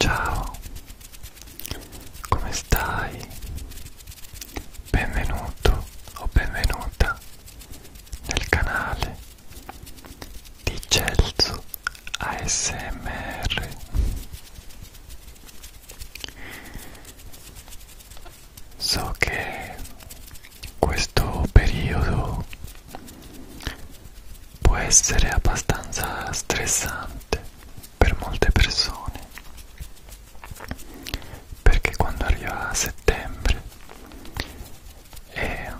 Ciao, come stai? Benvenuto o benvenuta nel canale di Celso ASMR. So che questo periodo può essere abbastanza stressante per molte persone perché quando arriva settembre è,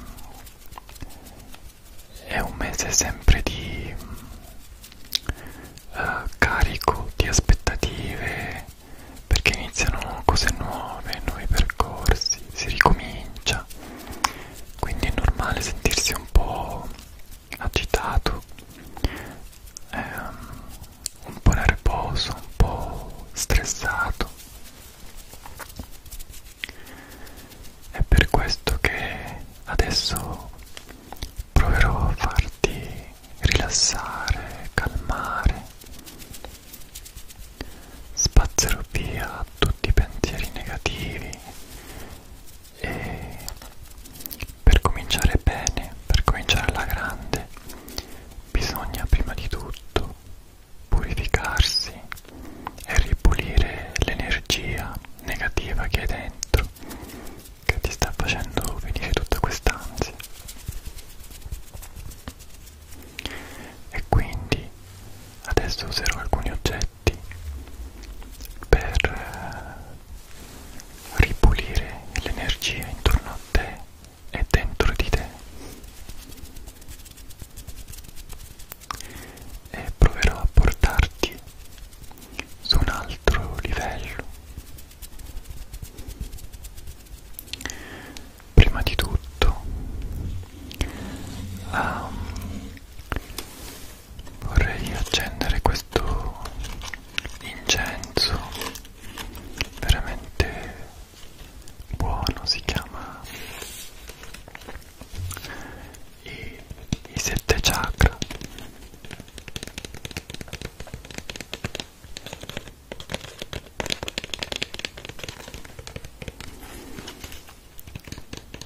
è un mese sempre di uh, carico di aspettative perché iniziano cose nuove, nuovi percorsi, si ricomincia vita quindi è normale sentirsi un po' agitato ehm, un po' nervoso un po' stressato è per questo che adesso proverò a farti rilassare calmare spazzerò via tutti i pensieri negativi e per cominciare bene, per cominciare alla grande, bisogna prima di tutto purificarsi e ripulire l'energia negativa che hai dentro, che ti sta facendo venire tutta quest'ansia e quindi adesso userò alcuni oggetti per eh, ripulire l'energia intorno a te e dentro di te e proverò a portarti su un altro livello prima di tutto um, vorrei accendere questo incenso veramente buono si chiama i, i sette chakra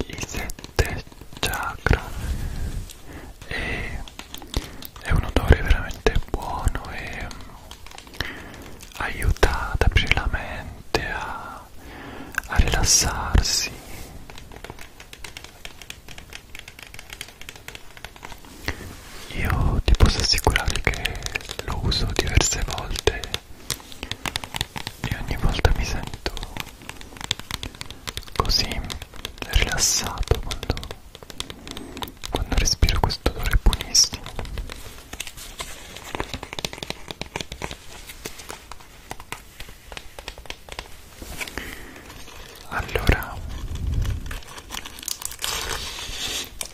i sette chakra e è un odore veramente buono e mm, aiuta ad aprire la mente a, a rilassarsi io ti posso assicurare che lo uso diverse volte e ogni volta mi sento così rilassato quando, quando respiro questo odore buonissimo allora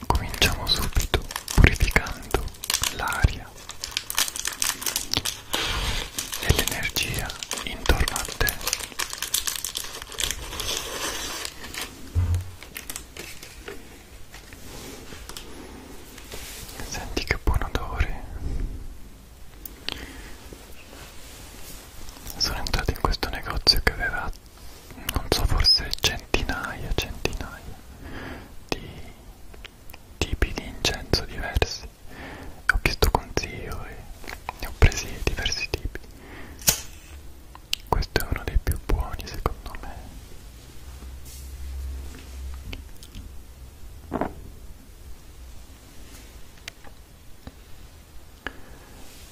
cominciamo subito purificando l'aria e l'energia intorno a te. Senti che buon odore. Sono entrato in questo negozio che aveva non so forse centinaia centinaia di tipi di incenso diversi ho chiesto consiglio e ne ho presi diversi tipi questo è uno dei più buoni secondo me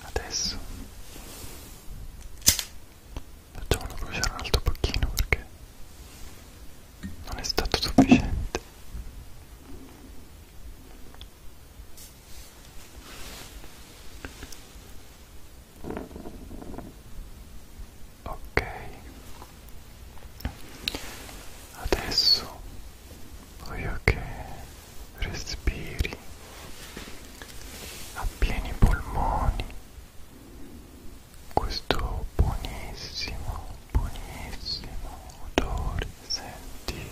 Adesso facciamolo bruciare un altro pochino perché non è stato sufficiente ok adesso voglio che respiri a pieni polmoni questo buonissimo buonissimo odore senti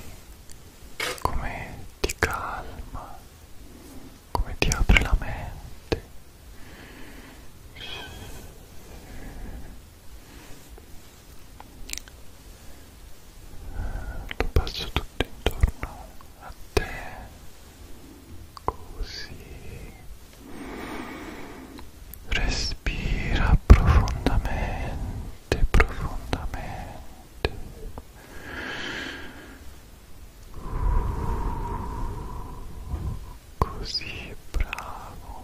come ti calma come ti apre la mente lo passo tutto intorno a te così respira profondamente profondamente così bravo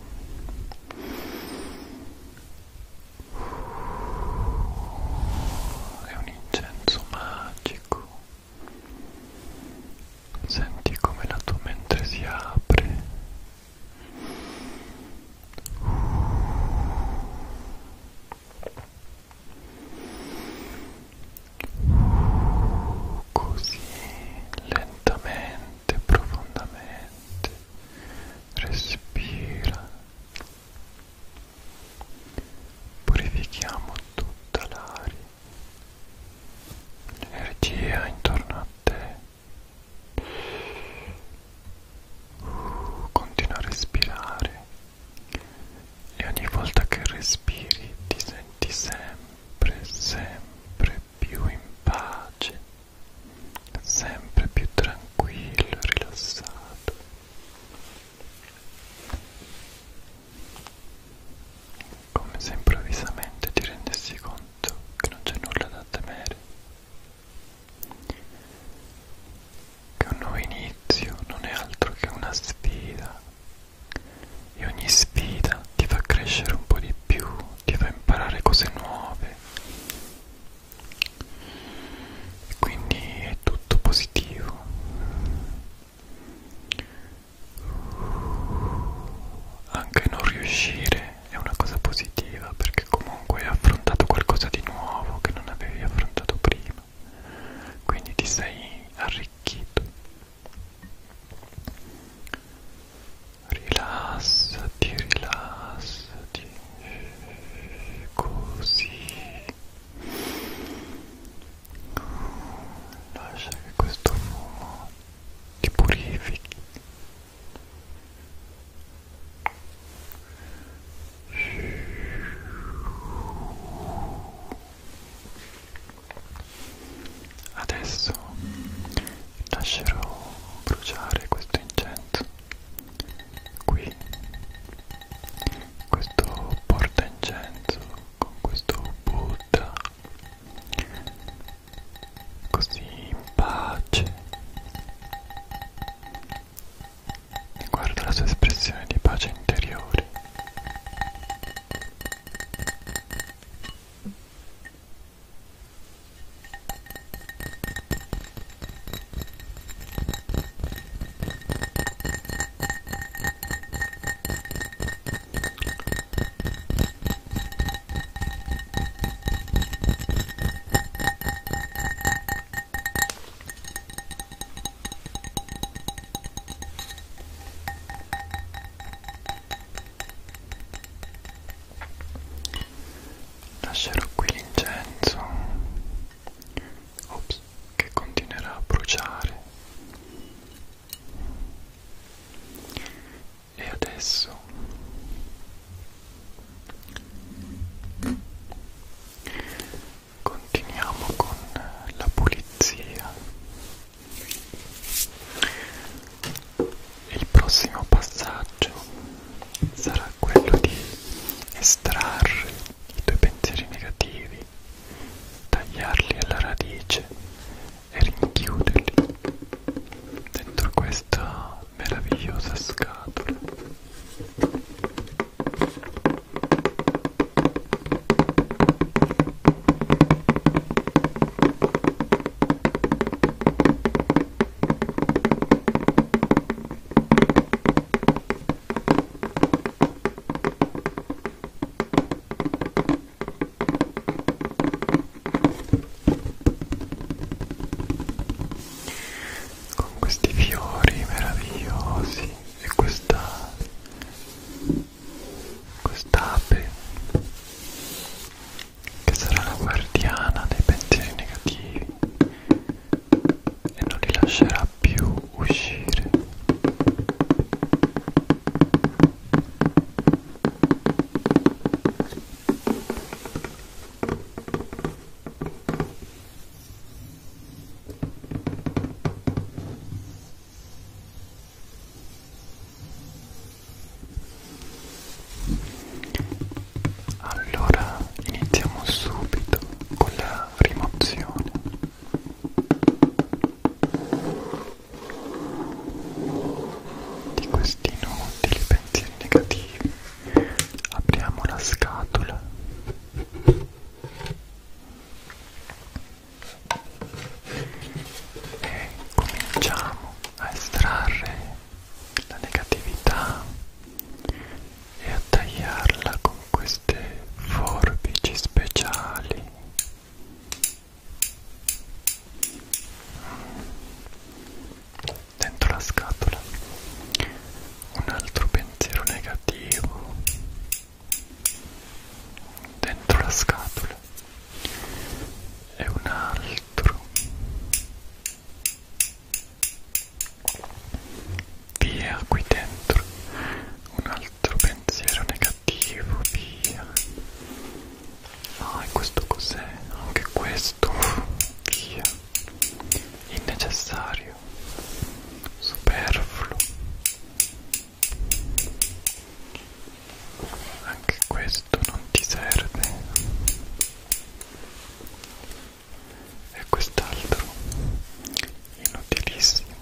è un incenso magico amico. Senti come la tua mente si apre. Così lentamente, profondamente respira purifichiamo tutta l'aria, l'energia intorno a te. Uh, continua a respirare e ogni volta che respiri ti senti sempre, sempre più in pace, sempre più tranquillo, rilassato come se improvvisamente ti rendessi conto che non c'è nulla da temere, che un nuovo inizio non è altro che una sfida e ogni sfida ti fa crescere un po' di più, ti fa imparare cose nuove e quindi è tutto positivo anche non riuscire è una cosa positiva perché comunque hai affrontato qualcosa di nuovo che non avevi affrontato prima quindi ti sei arricchito rilassati rilassati così Lascia che questo fumo ti purifichi. Adesso lascerò bruciare questo incenso qui questo porta incenso con questo Buddha così in pace e guarda la sua espressione di pace interiore Lascerò qui l'incenso Ops, che continuerà a bruciare. E adesso continuiamo con la pulizia. Il prossimo passaggio sarà quello di estrarre i tuoi pensieri negativi, tagliarli alla radice e rinchiuderli dentro questa meravigliosa scatola con questi fiori meravigliosi e questa quest'ape che sarà la guardiana dei pensieri negativi e non li lascerà più uscire. Allora iniziamo subito con la rimozione. Di questi inutili pensieri negativi apriamo la scatola. E cominciamo a estrarre la negatività e a tagliarla con queste forbici speciali dentro la scatola un altro pensiero negativo dentro la scatola e un altro Via qui dentro un altro pensiero negativo, via. Ah, e questo cos'è? Anche questo, via. Innecessario, superfluo. Anche questo non ti serve e quest'altro inutilissimo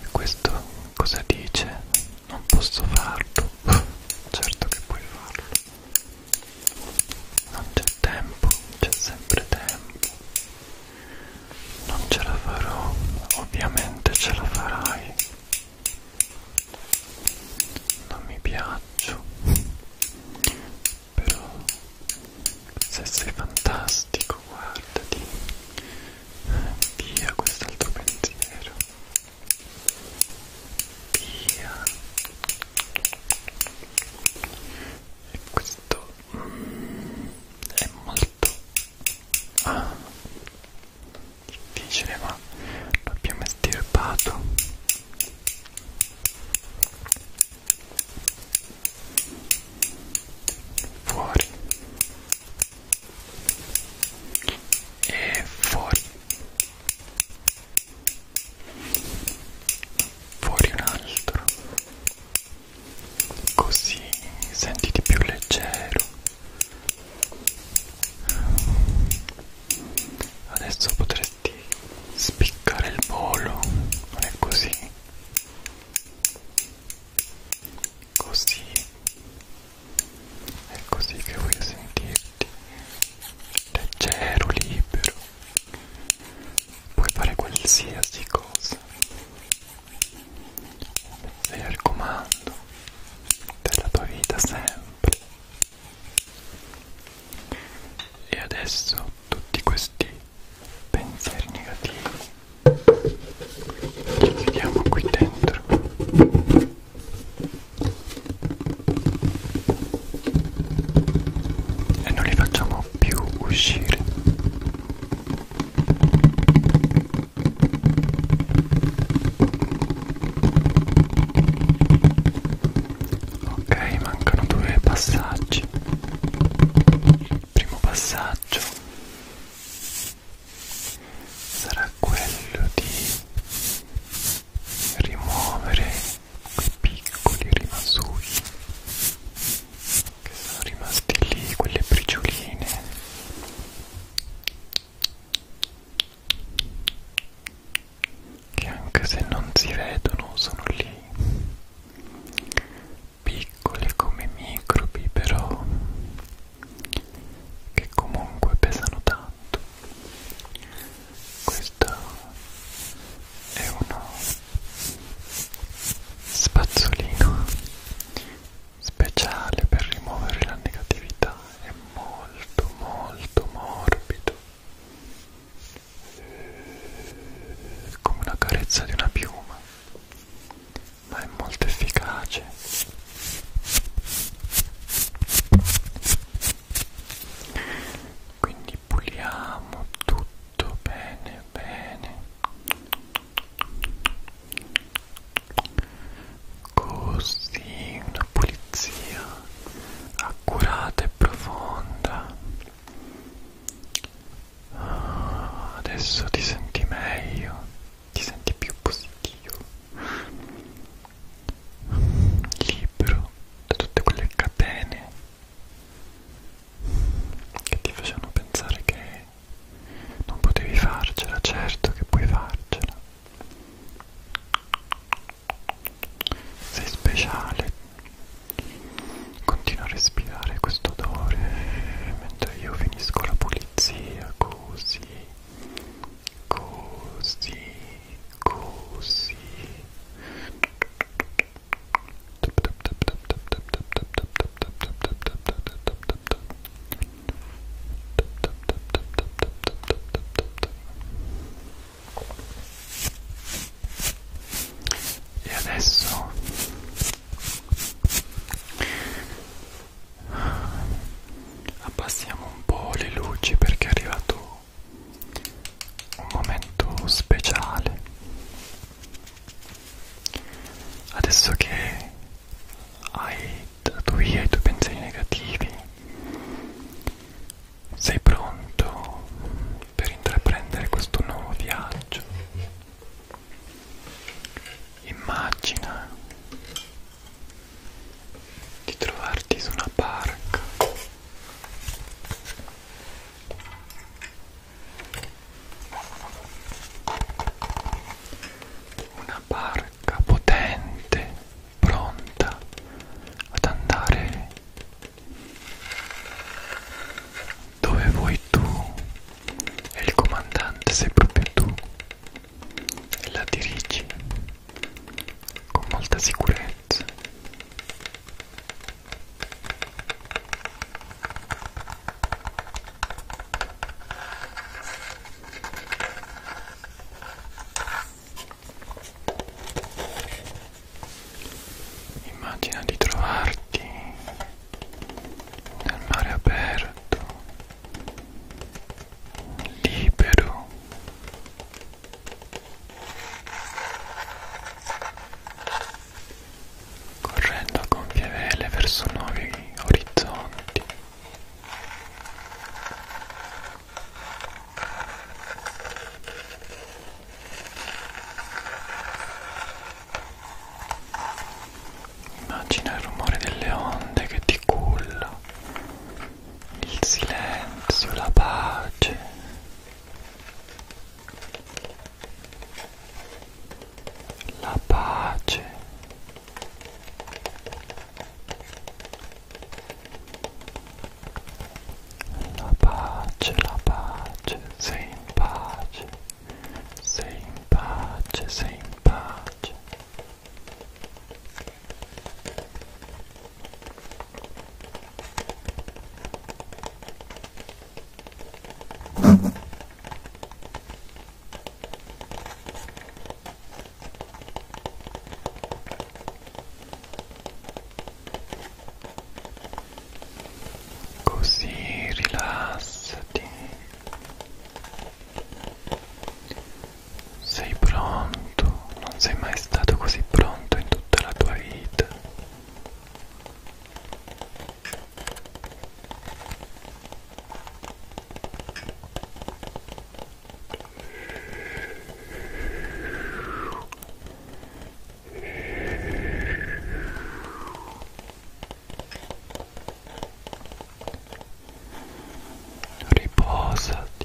e questo cosa dice? non posso farlo certo che puoi farlo non c'è tempo, c'è sempre tempo non ce la farò, ovviamente ce la farai. Non mi piaccio, però se sei fantastico, guardati. Via quest'altro pensiero. Via. E questo è molto ah, difficile ma l'abbiamo estirpato fuori e fuori fuori un altro così sentiti più leggero adesso potresti spiccare il volo non è così così è così che voglio sentirti leggero libero puoi fare qualsiasi cosa sei al comando della tua vita sempre e adesso tutti questi pensieri negativi li chiudiamo qui dentro e non li facciamo più uscire Ok, mancano due passaggi. Il primo passaggio sarà quello di rimuovere quei piccoli rimasugli che sono rimaste lì quelle bricioline che anche se non si vedono sono lì piccole come microbi però che comunque pesano tanto questa e uno spazzolino speciale per rimuovere la negatività è molto molto morbido come una carezza di una piuma ma è molto efficace quindi puliamo tutto tutto bene bene così una pulizia accurata e profonda ah, adesso ti senti meglio ti senti più positivo libero da tutte quelle catene che ti facevano pensare che non potevi farcela, certo che puoi farcela. Sei speciale. Continua a respirare questo odore mentre io finisco la pulizia, così, così, così. E adesso abbassiamo un po' le luci perché è arrivato un momento speciale adesso che hai dato via i tuoi pensieri negativi sei pronto per intraprendere questo nuovo viaggio immagina di trovarti su una barca una barca potente, pronta ad andare dove vuoi tu e il comandante sei proprio tu e la dirigi con molta sicurezza Immagina di trovarti nel mare aperto, libero correndo a gonfie vele verso nuovi orizzonti. Immagina il rumore delle onde che ti culla il silenzio, la pace. La pace. La pace, la pace, sei in pace, sei in pace, sei in pace. Così rilassati sei pronto, non sei mai stato così pronto in tutta la tua vita. Riposati.